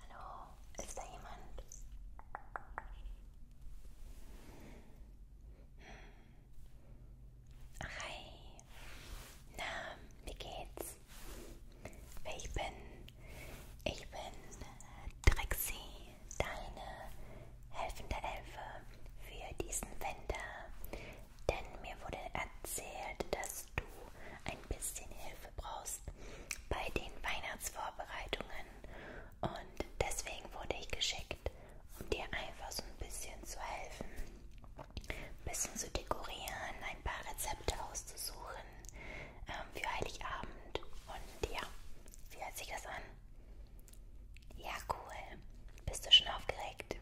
Hallo, ist da jemand? Hm. Hi, na, wie geht's? Ich bin, ich bin Trixie deine helfende Elfe für diesen Winter, denn mir wurde erzählt, dass du ein bisschen Hilfe brauchst bei den Weihnachtsvorbereitungen und deswegen wurde ich geschickt, um dir einfach so ein bisschen zu helfen, ein bisschen zu dekorieren, ein paar Rezepte auszusuchen ähm, für Heiligabend und ja, wie hört sich das an? Ja, cool. Bist du schon aufgeregt?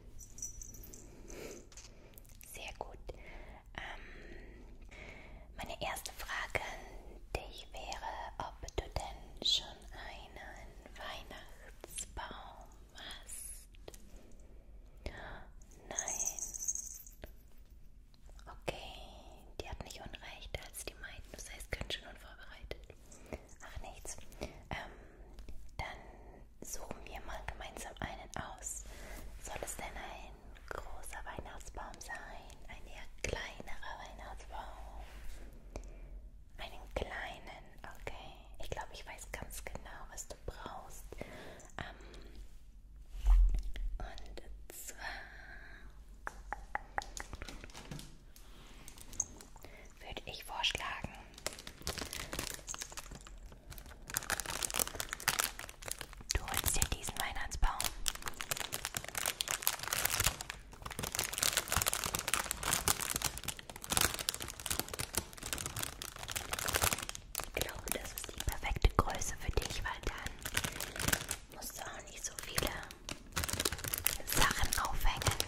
Sehr gut. Ähm, meine erste Frage an dich wäre, ob du denn schon einen Weihnachtsbaum hast. Nein. Okay, die hat nicht unrecht als die meinten. Das heißt, ganz schön unvorbereitet. Ach nichts. Ähm, dann suchen wir mal gemeinsam einen aus. Soll es denn ein großer Weihnachtsbaum sein? Ein eher kleinerer Weihnachtsbaum? Einen kleinen, okay. Ich glaube, ich weiß ganz genau, was du brauchst. Ähm, und zwar würde ich vorschlagen. Du holst dir diesen Weihnachtsbaum. Ich glaube, das ist die perfekte Größe für dich, weil dann musst du auch nicht so viele Sachen aufhängen.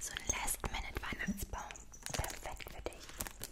So ein Last-Minute-Weihnachtsbaum. Perfekt für dich.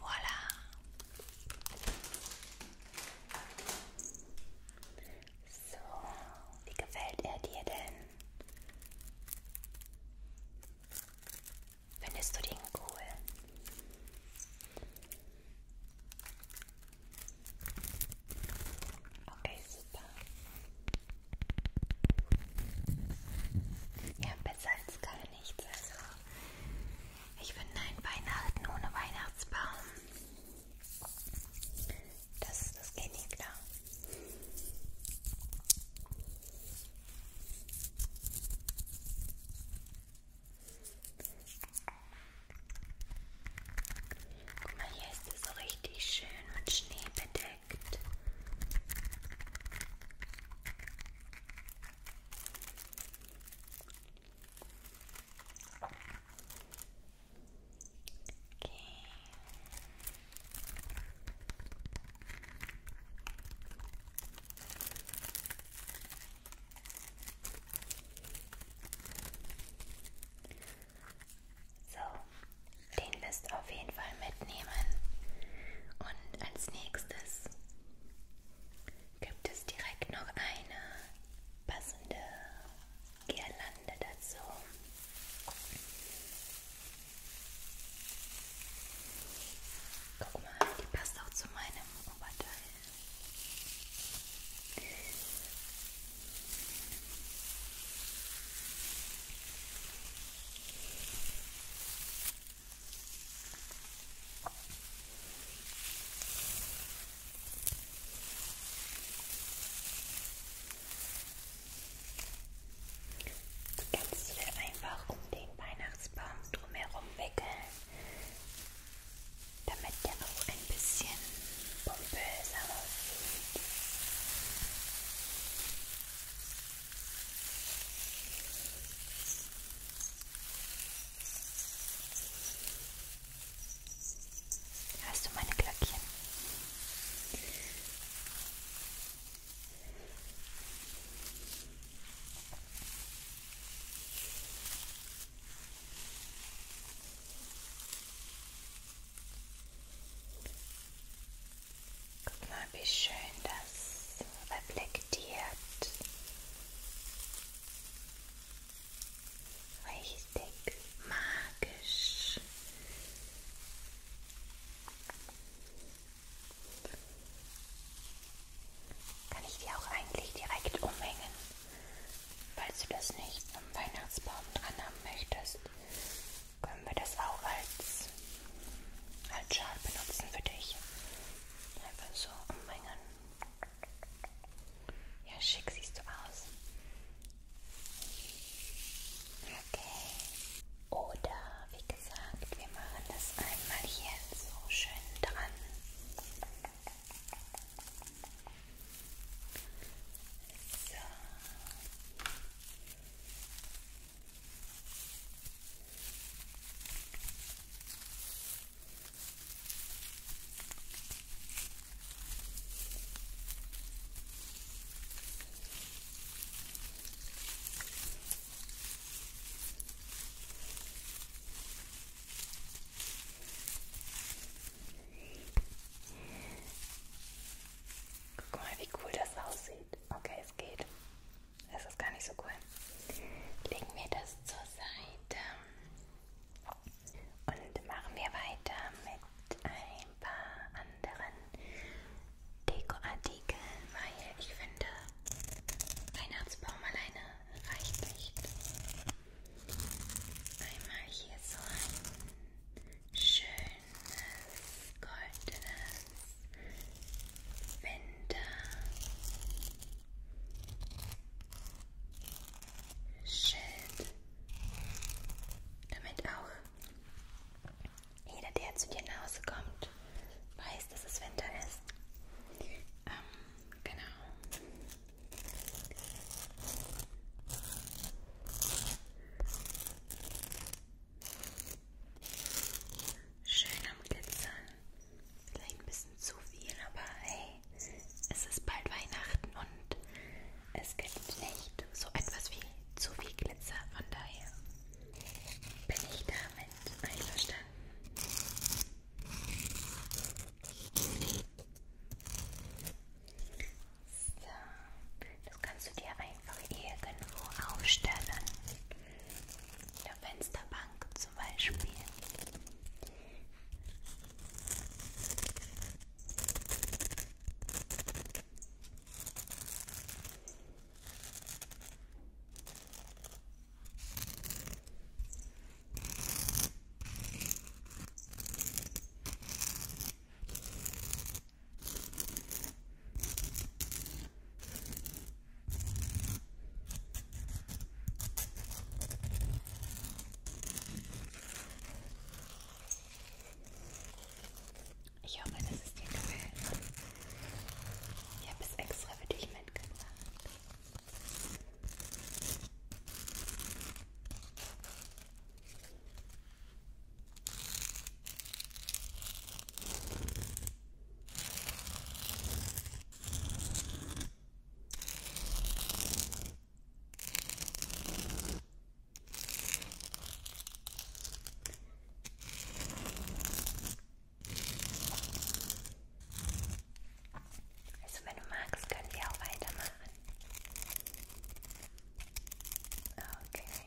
Voilà. So, wie gefällt er dir denn? Findest du den cool? Okay, super. Ja, besser als gar nichts. Also ich finde ein Weihnachten ohne Weihnachtsbaum. Das, das geht nicht klar. Guck mal, hier ist es so richtig schön mit Schnee bedeckt perfekt. Okay. So, den müsst auf jeden Fall Fall mitnehmen. Und als nächstes gibt es direkt noch eine passende Girlande dazu. Guck mal, die passt auch zu meinem Oberteil. Jetzt will einfach um den Weihnachtsbaum drumherum wickeln, damit der auch ein bisschen pompöser aussieht. Hörst du meine Glöckchen? Guck mal, wie schön das reflektiert. Richtig magisch. Kann ich die auch eigentlich direkt umhängen, falls du das nicht am Weihnachtsbaum dran haben möchtest? können wir das auch als, als Schal benutzen für dich. Einfach so ummengen. Ja, schick siehst du aus. Okay. Oder wie gesagt, wir machen das einmal hier so schön dran. So. Guck mal, wie cool das aussieht. Okay, es geht. Es ist gar nicht so cool. Legen wir das zur Seite und machen wir weiter mit ein paar anderen Dekoartikeln, weil ich finde, Weihnachtsbaum alleine reicht nicht. Einmal hier so ein schönes goldenes Winterschild, damit auch jeder, der zu dir nach Hause kommt, weiß, dass es Winter ist. Ähm, genau. Schön am Glitzern. Vielleicht ein bisschen zu viel, aber hey, es ist bald Weihnachten und es gibt nicht so etwas wie zu viel Glitzer. Von daher bin ich damit einverstanden. So, das kannst du dir ein einfach irgendwo aufstellen. In der Fensterbank zum Beispiel. Ich hoffe, dass es dir gefällt. Ich habe es extra für dich mitgebracht. Also wenn du magst, können wir auch weitermachen. Okay.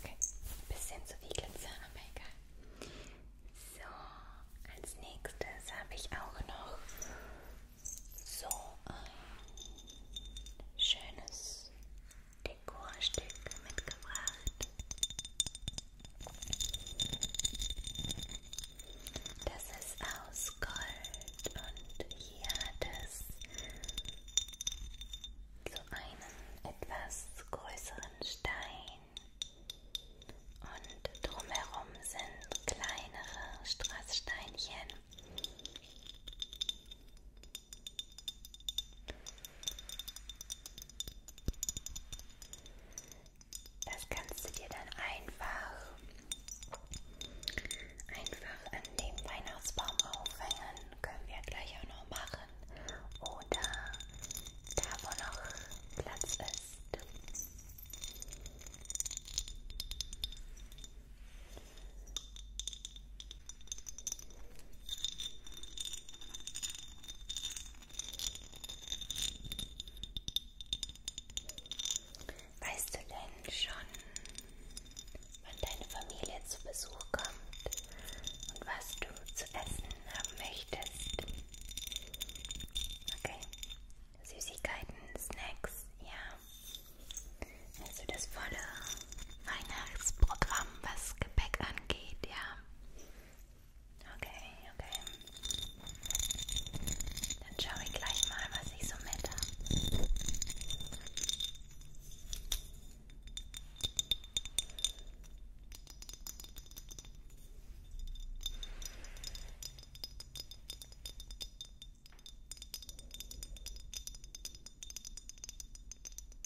Okay, ein bisschen zu viel Glitzer, aber egal. So, als nächstes habe ich auch noch so ein schönes Ding. Dekorstück mitgebracht. Das ist aus Gold und hier hat es so einen etwas größeren Stein und drumherum sind kleinere Strasssteinchen. Das kannst du dir dann einfach, einfach an dem Weihnachtsbaum aufhängen. Können wir gleich auch noch machen. Oder da, wo noch Platz ist. Weißt du denn schon, wann deine Familie zu Besuch kommt und was du zu essen haben möchtest? Okay. Süßigkeiten, Snacks, ja. Also das volle Weihnachtsprogramm, was Gepäck angeht, ja. Okay, okay. Dann schaue ich gleich mal, was ich so mit habe. Okay.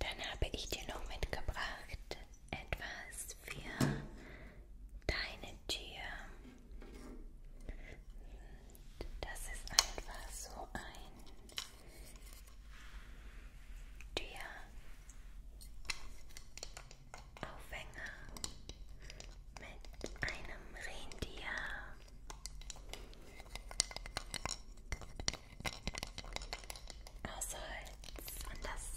Dann habe ich dir noch mitgebracht etwas für deine Tür. Das ist einfach so ein Türaufhänger mit einem Rentier aus also, Holz. Und das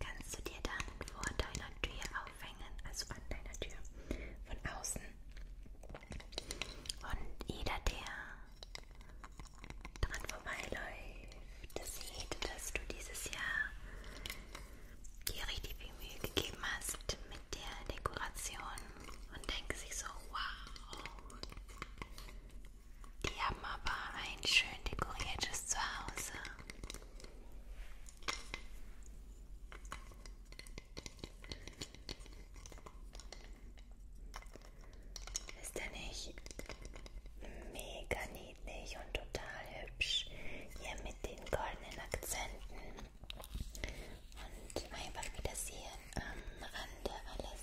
kannst du dir dann vor deiner Tür aufhängen, also an deiner Tür von außen. Und jeder, der dran vorbeiläuft, sieht, dass du dieses Jahr dir richtig viel Mühe gegeben hast mit der Dekoration und denkt sich so, wow, die haben aber ein schön dekoriertes Zuhause. Ist er nicht mega niedlich und total hübsch? Hier mit den goldenen Akzenten und einfach wie das hier am Rande alles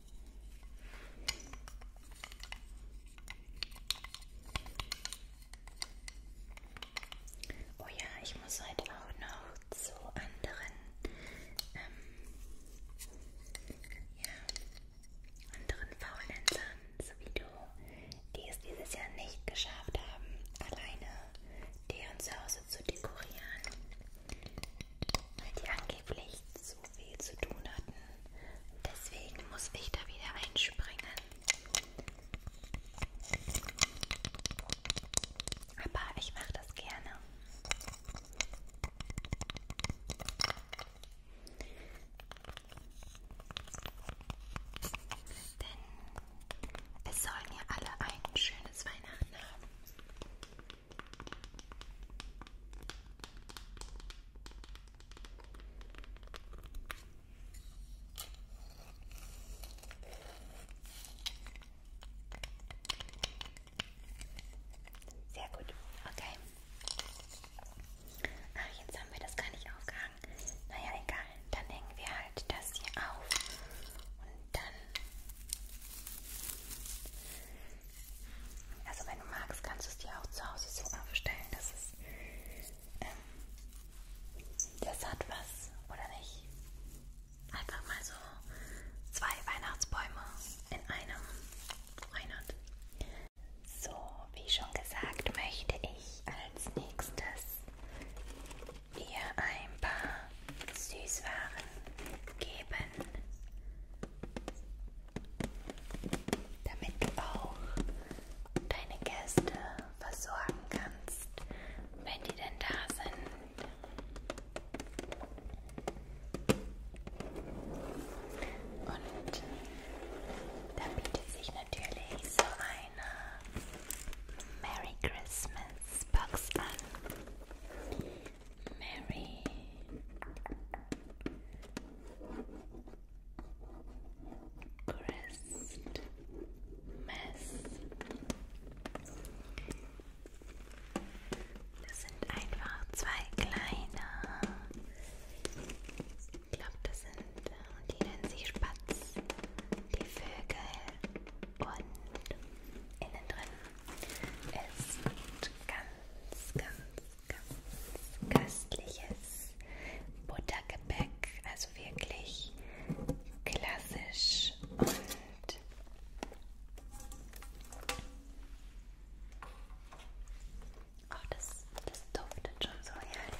Oh ja, ich muss heute auch noch zu anderen, ähm, ja, anderen Faulenzern, so wie du, die es dieses Jahr nicht geschafft haben, alleine deren Zuhause zu dekorieren, weil die angeblich so viel zu tun hatten. Deswegen muss ich da wieder einspringen. Aber ich mache das gerne. Denn es sollen ja alle ein schönes Weihnachten haben. Sehr gut, okay. Ach, jetzt haben wir das gar nicht aufgehangen. Naja, egal. Dann hängen wir halt das hier auf. Und dann also wenn du magst, kannst du es dir auch zu Hause so aufstellen, dass es ähm, das hat was, oder nicht? Einfach mal so zwei Weihnachtsbäume in einem Monat. So, wie schon gesagt, möchte ich als nächstes ihr ein paar Süßwaren geben damit du auch deine Gäste versorgen kannst, wenn die denn da sind. Und da bietet sich natürlich so eine Merry Christmas Box an. Mary. Christ. Mess. Das sind einfach zwei kleine. Ich glaube, das sind, und die nennen sich Spatz, die Vögel und innen drin ist ganz, ganz ganz köstliches Buttergebäck, also wirklich klassisch und Oh, das, das duftet schon so herrlich.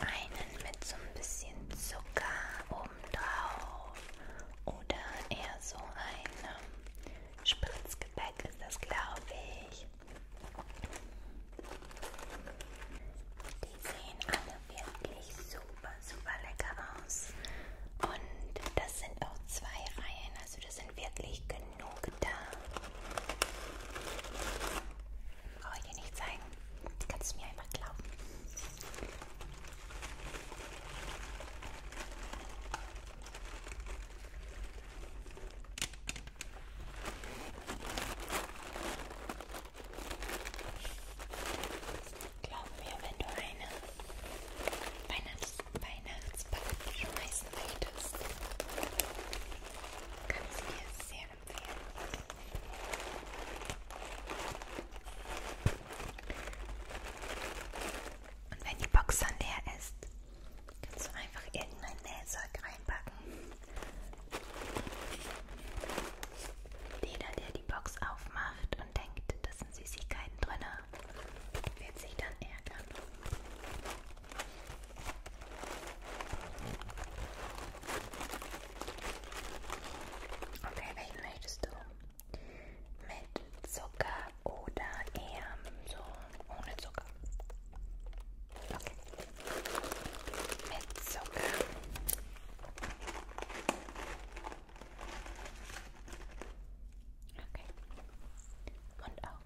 einen mit so ein bisschen Zucker obendrauf oder eher so ein ähm, Spritzgebäck ist das, glaube ich. Die sehen alle wirklich super, super lecker aus. Und das sind auch zwei Reihen, also das sind wirklich genug da. Brauche ich dir nicht zeigen. Kannst du mir einfach glauben. Glaub mir, wenn du eine Weihnachts Weihnachtsball schmeißen möchtest, kannst du dir sehr empfehlen. Und wenn die Box dann leer ist, kannst du einfach irgendein Nähzeug reinpacken. Jeder, der die Box aufmacht und denkt, das sind Süßigkeiten drin, wird sich dann ärgern. Okay, welchen möchtest du? Mit Zucker oder eher so ohne Zucker? Okay. Mit Zucker. Okay. Und auch.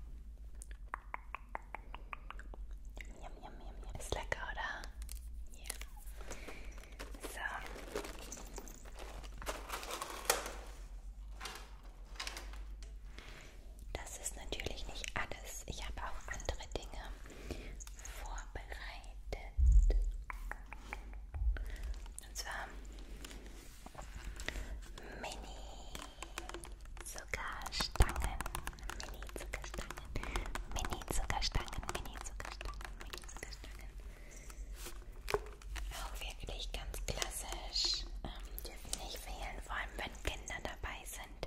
Yum, yum, yum, yum. Ist lecker, oder? Ja. So. Das ist natürlich nicht alles. Ich habe auch andere Dinge vorbereitet. Und zwar Mini Zuckerstangen. Mini-Zuckerstangen, Mini-Zuckerstangen, Mini-Zuckerstangen, Mini-Zuckerstangen. Auch wirklich ganz klassisch. Ähm, dürfen nicht fehlen, vor allem wenn Kinder dabei sind.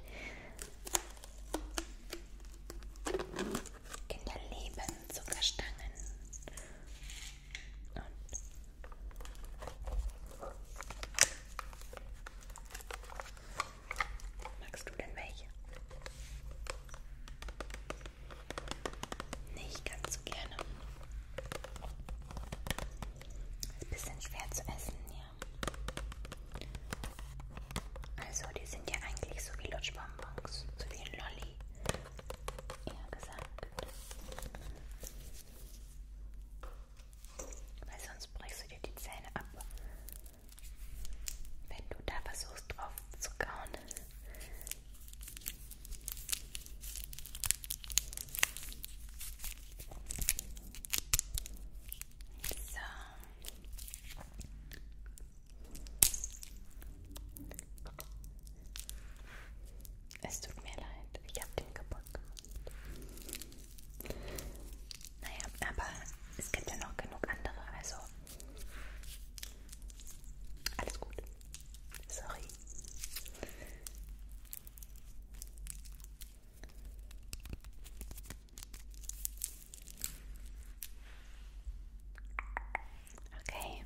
Kinder lieben Zuckerstangen. Und Magst du denn welche? Nicht ganz so gerne. Ist ein bisschen schwer zu essen, ja. Also, die sind ja eigentlich so wie Lutschbonbons, so wie ein Lolli, eher gesagt. Weil sonst brichst du dir die Zähne ab wenn du da versuchst drauf zu kauen. So. Es tut mir leid, ich habe den kaputt gemacht. Naja, aber es gibt ja noch genug andere, also alles gut. Sorry. Okay.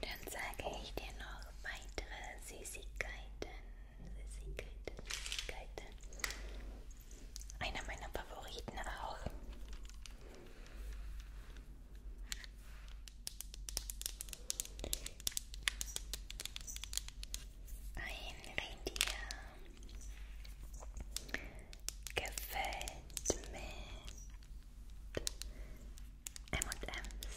Dann sage ich dir noch weitere Süßigkeiten. Süßigkeiten, Süßigkeiten. Einer meiner Favoriten auch. Ein Reindeer gefällt mit M&M's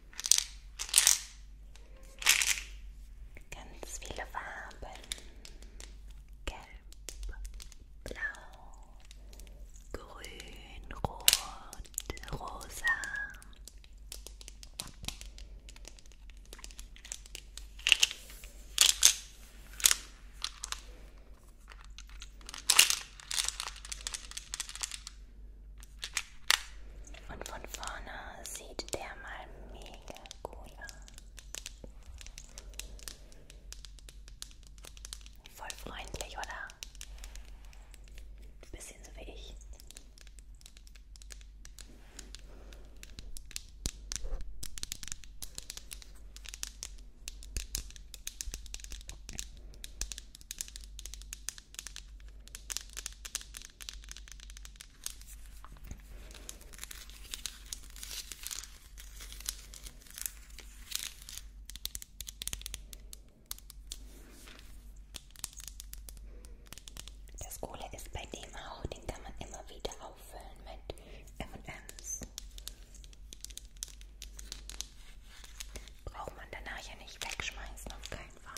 Ganz viele Farben. Gelb, blau, grün, rot, rosa. Und von vorne sieht der mal mega cool aus. Voll freundlich, oder? Ein bisschen so wie ich. Das Coole ist bei dem auch, den kann man immer wieder auffüllen mit M&M's. Braucht man danach ja nicht wegschmeißen, auf keinen Fall.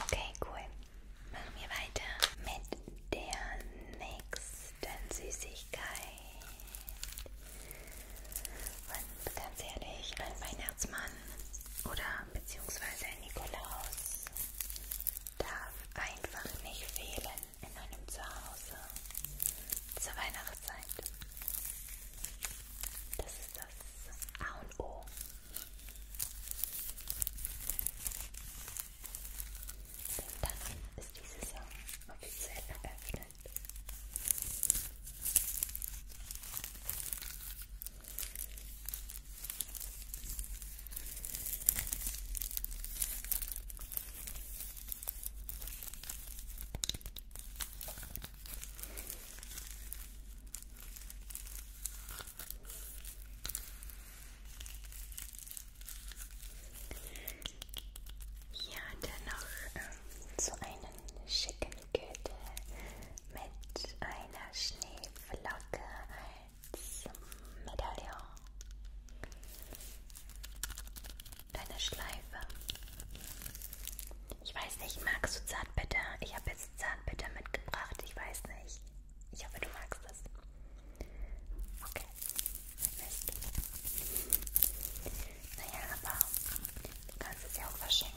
Okay, cool. Machen wir weiter mit der nächsten Süßigkeit. Und ganz ehrlich, ein Weihnachtsmann oder beziehungsweise ein Nikolaus darf einfach nicht fehlen in meinem Zuhause zur Weihnachtszeit. Das ist das A und O. Denn dann ist die Saison offiziell eröffnet. Hier hat er noch ähm, so einen schicken Gürtel mit einer Schneeflocke als Medaillon. Deine Schleife. Ich weiß nicht, magst du Zartbitter? Ich habe jetzt Zartbitter mitgebracht. Ich weiß nicht. Ich hoffe, du magst es. Okay. Mist. Naja, aber du kannst es ja auch verschenken.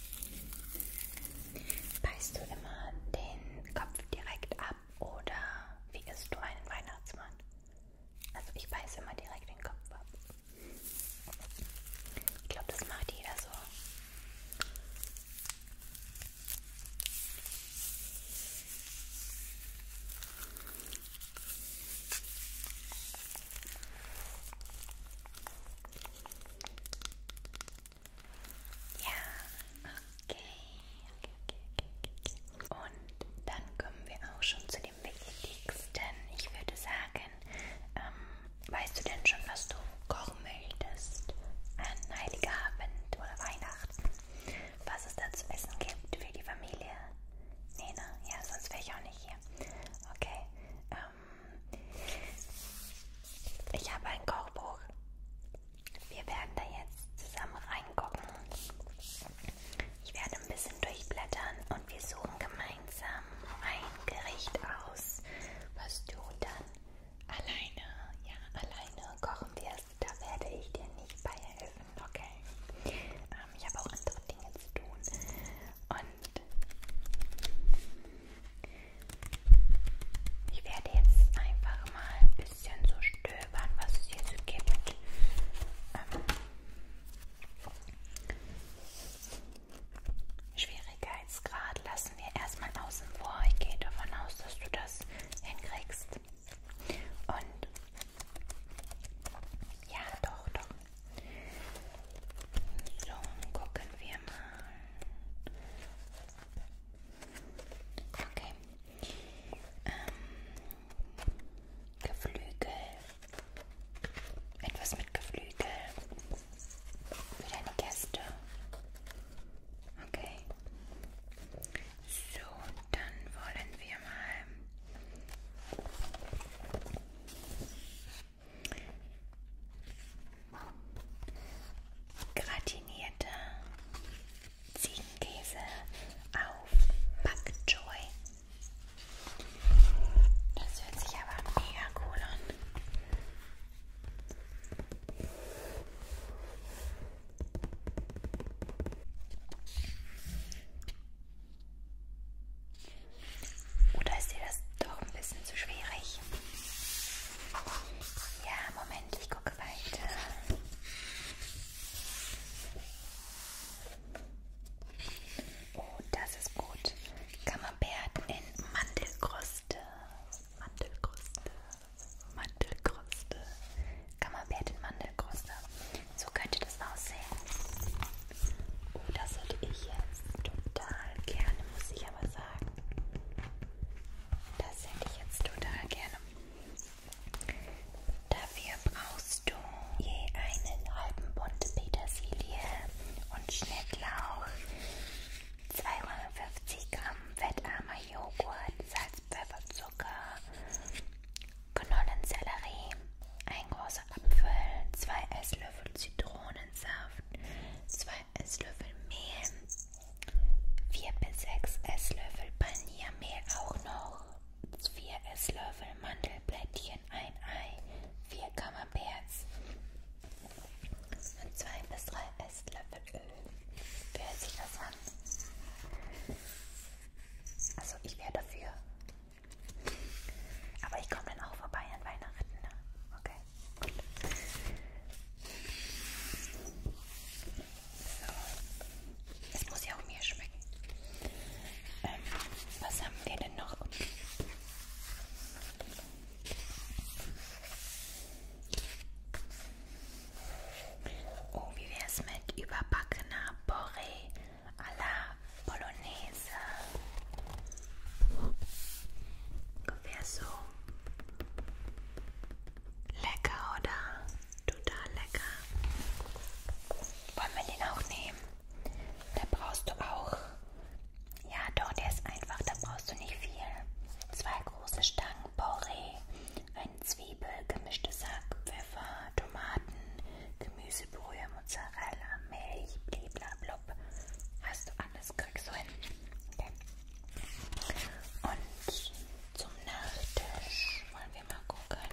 Beißt du immer den Kopf direkt ab oder wie isst du einen Weihnachtsmann? Also ich beiße immer direkt den Kopf ab. Ich glaube, das macht jeder so. Ja, okay. Okay, okay, okay, okay. Und dann kommen wir auch schon zu dem Wichtigsten. Ich würde sagen, ähm, weißt du denn schon, was du kochen möchtest an Heiligabend oder Weihnachten? Was es da zu essen gibt für die Familie? Nee, ne? Ja, sonst wäre ich auch nicht hier. Okay. Ähm, ich habe ein Kochbuch. Wir werden da jetzt zusammen reingucken. Ich werde ein bisschen durchblättern und wir suchen gemeinsam ein Gericht aus, was du dann alleine, ja, alleine kochen wirst. Da werde ich dir nicht beihelfen, okay? Ähm, ich habe auch andere Dinge zu tun. Und ich werde jetzt einfach mal ein bisschen so stöbern, was es hier so gibt. Ähm, Schwierigkeitsgrad lassen wir erstmal außen vor. Ich gehe davon aus, dass du das hinkriegst. Und ja, doch, doch. So, gucken wir mal. Okay. Ähm, Geflügel. Etwas mit Geflügel. Für deine Gäste. Okay. So, dann wollen wir mal Gratinierte Ziegenkäse auf Pak Choi. Das hört sich aber mega cool an. Oder ist dir das doch ein bisschen zu schwierig? Ja, Moment, ich gucke weiter. Oh, das ist gut. Camembert in Mandelkruste. Mandelkruste. Mandelkruste. Camembert in Mandelkruste. So könnte das aussehen. Oh, das hätte ich jetzt total gerne, muss ich aber sagen. Das hätte ich jetzt total gerne. Dafür brauchst du je einen halben Bund Petersilie und Schnittlauch, 250 Gramm fettarmer Joghurt, Salz, Pfeffer, Zucker, Knollensellerie, ein großer Apfel, zwei Esslöffel Zitronensaft, zwei Esslöffel Mehl, 4 bis 6 Esslöffel Paniermehl auch noch, 4 Esslöffel Mandelblättchen, ein Ei, 4 Kammerperz und 2 bis 3 Esslöffel Öl. Wer hört sich das an? Also ich wäre dafür. Aber ich komme dann auch vorbei an Weihnachten. Ne? Okay. So. Es muss ja auch mir schmecken. Ähm, was haben wir denn noch? Oh, wie wäre es mit überbackener Borree à la Bolognese? Ungefähr so. Lecker, oder? Total lecker. Wollen wir den auch nehmen? Da brauchst du auch. Ja, doch, der ist einfach. Da brauchst du nicht viel. Zwei große Stangen Porree, eine Zwiebel, gemischte Sack, Pfeffer, Tomaten, Gemüsebrühe, Mozzarella, Milch, bliblablub. Hast du alles? Kriegst du hin. Okay. Und zum Nachtisch wollen wir mal gucken.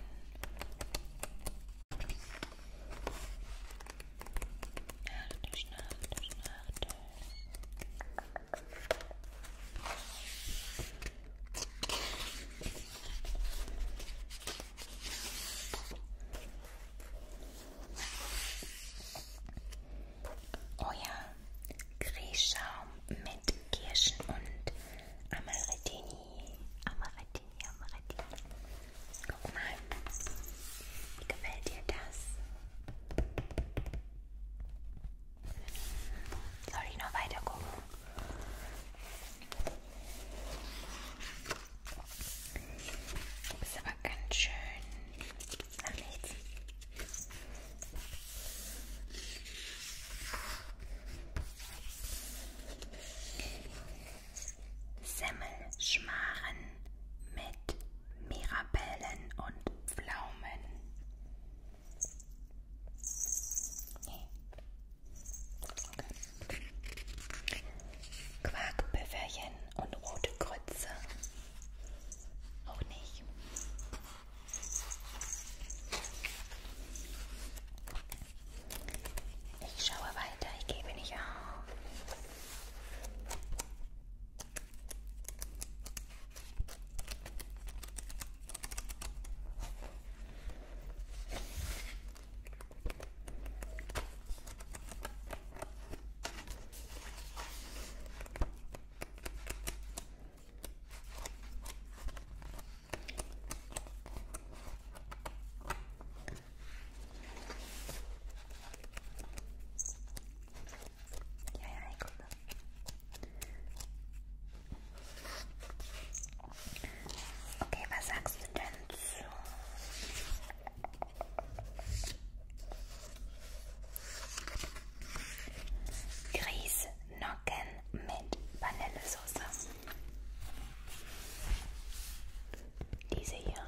Nachtisch, Nachtisch, Nachtisch euer Grießschaum mit Kirschen und Amarettini. Amarettini, Amarettini. Guck mal, wie gefällt dir das? Soll ich noch weiter gucken? Du bist aber ganz schön an nichts. Semmelschmaren mit Mirabellen und Pflaumen. Nee. Okay. Quarkpüfferchen und rote Grütze. Auch nicht. Ich schaue weiter, ich gebe nicht auf. Ja, ja, ich gucke. Okay, was sagst du denn zu Grießnocken mit Vanillesoße. Diese hier. Ja,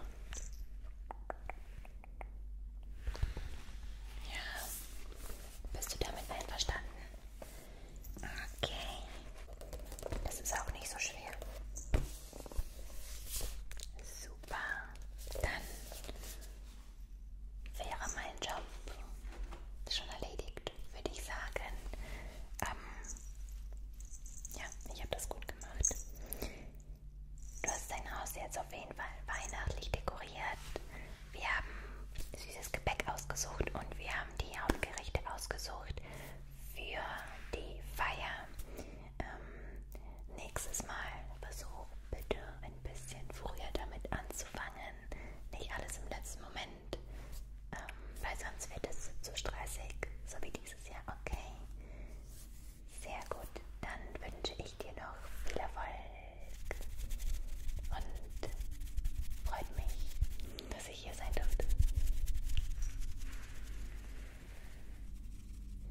bist du damit einverstanden? Okay. Das ist auch nicht so schwer. Super. Dann wäre mein Job schon erledigt, würde ich sagen. Ähm, ja, ich habe das gut gemacht. Du hast dein Haus jetzt auf jeden Fall weihnachtlich dekoriert. Wir haben süßes Gebäck ausgesucht und wir haben die Hauptgerichte ausgesucht für die Feier ähm, nächstes Mal versuch bitte ein bisschen früher damit anzufangen. Nicht alles im letzten Moment, ähm, weil sonst wird es zu stressig, so wie dieses Jahr. Okay, sehr gut. Dann wünsche ich dir noch viel Erfolg und freut mich, dass ich hier sein durfte.